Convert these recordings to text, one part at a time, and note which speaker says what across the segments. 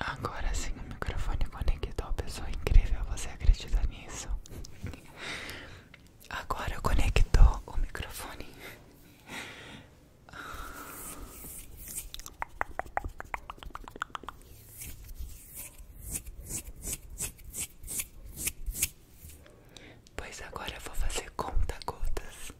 Speaker 1: Agora sim o microfone conectou, pessoa incrível, você acredita nisso? Agora conectou o microfone. Pois agora eu vou fazer conta gotas.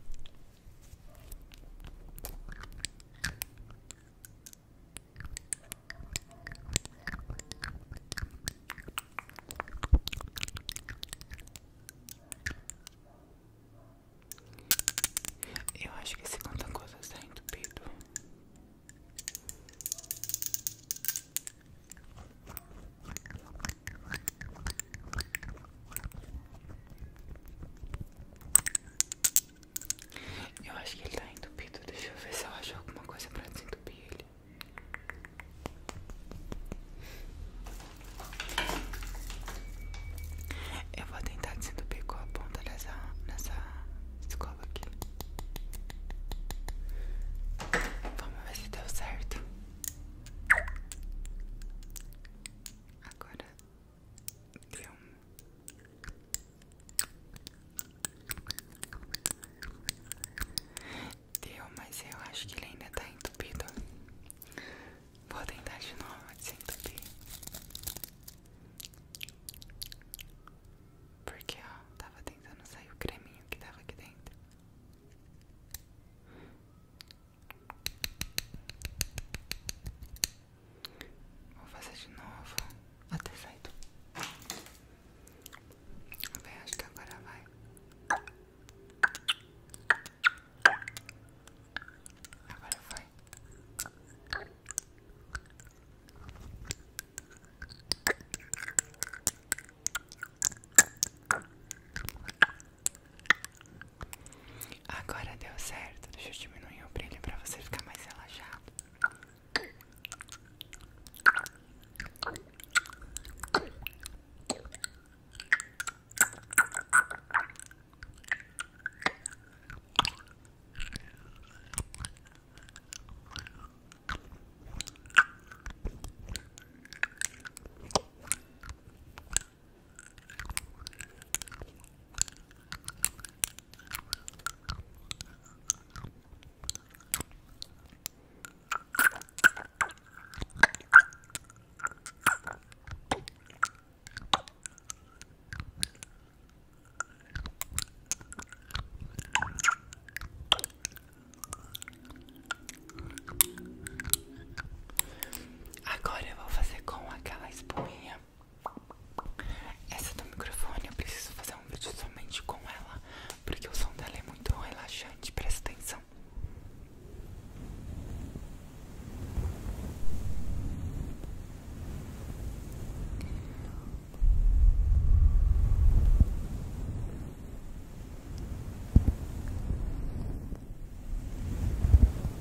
Speaker 1: Eu acho que esse conta-gotas está entupido. Eu acho que ele tá entupido. Deixa eu ver se eu acho alguma coisa pra desentupir ele. Eu vou tentar desentupir com a ponta dessa, dessa escova aqui. Vamos ver se deu certo. Agora Deu Deu, mas eu acho que ele ainda tá entupido. Vou tentar de novo desentupir. Porque, ó, tava tentando sair o creminho que tava aqui dentro. Vou fazer de novo até sair acho que agora vai. Agora foi. Agora deu certo. Deixa eu diminuir o brilho para você ficar mais relaxado. Agora eu vou fazer com aquela espuminha essa do microfone eu preciso fazer um vídeo somente com ela, porque o som dela é muito relaxante, presta atenção.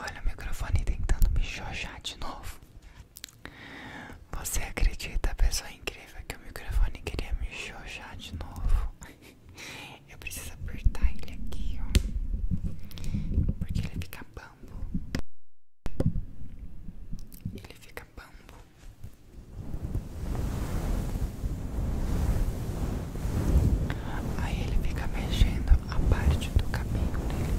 Speaker 1: Olha o microfone tentando me chojar de novo. Você acredita, pessoa incrível, que o microfone queria me xoxar de novo? Eu preciso apertar ele aqui, ó. Porque ele fica bambo. Ele fica bambo. Aí ele fica mexendo a parte do cabelo dele.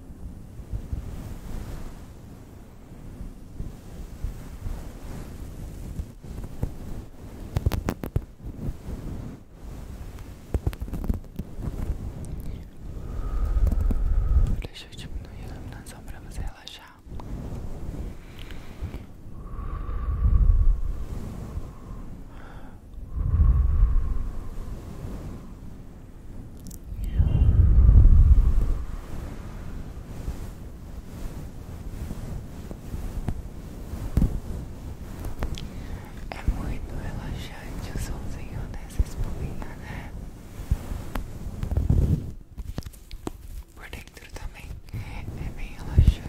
Speaker 1: Deixa eu te diminuir a iluminação para você relaxar. É muito relaxante o somzinho dessa espumina, né? Por dentro também é bem relaxante.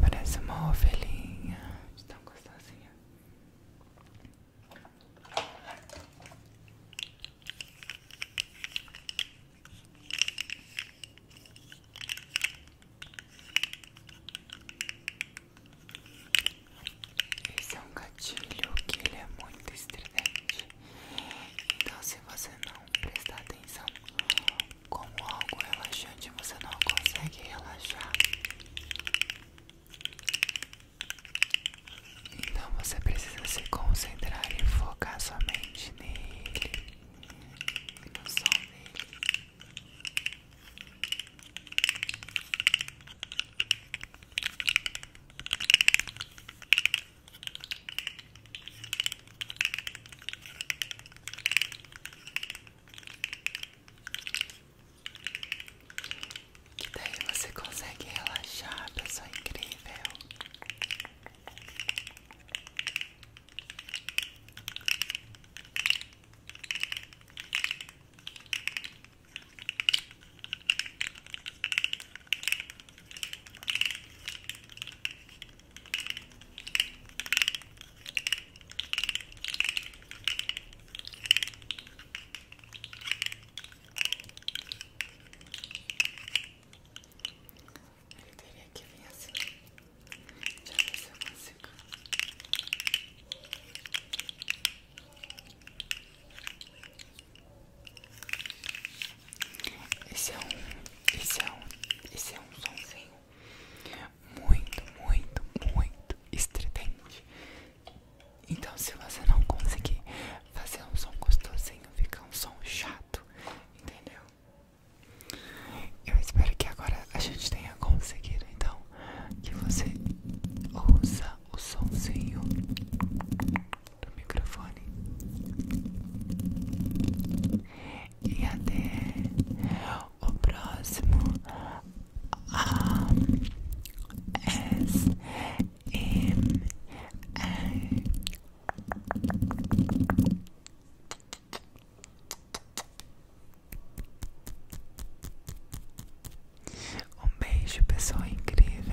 Speaker 1: Parece uma ovelhinha de tão gostosinha. Esse é um gatilho que ele é muito estridente. Então se você não prestar atenção como algo relaxante, você não consegue relaxar. Então você precisa se concentrar e focar somente nele e no som dele. Que daí você consegue relaxar, pessoa incrível. Ele teria que vir assim. Já ver se eu consigo. Esse é um. Esse é um. Esse é um somzinho muito, muito, muito estridente. Então, se você não conseguir fazer um som gostosinho, fica um som chato, entendeu? Eu espero que agora a gente tenha conseguido, então, que você ouça o somzinho do microfone. E até o próximo A S M um beijo, pessoal incrível.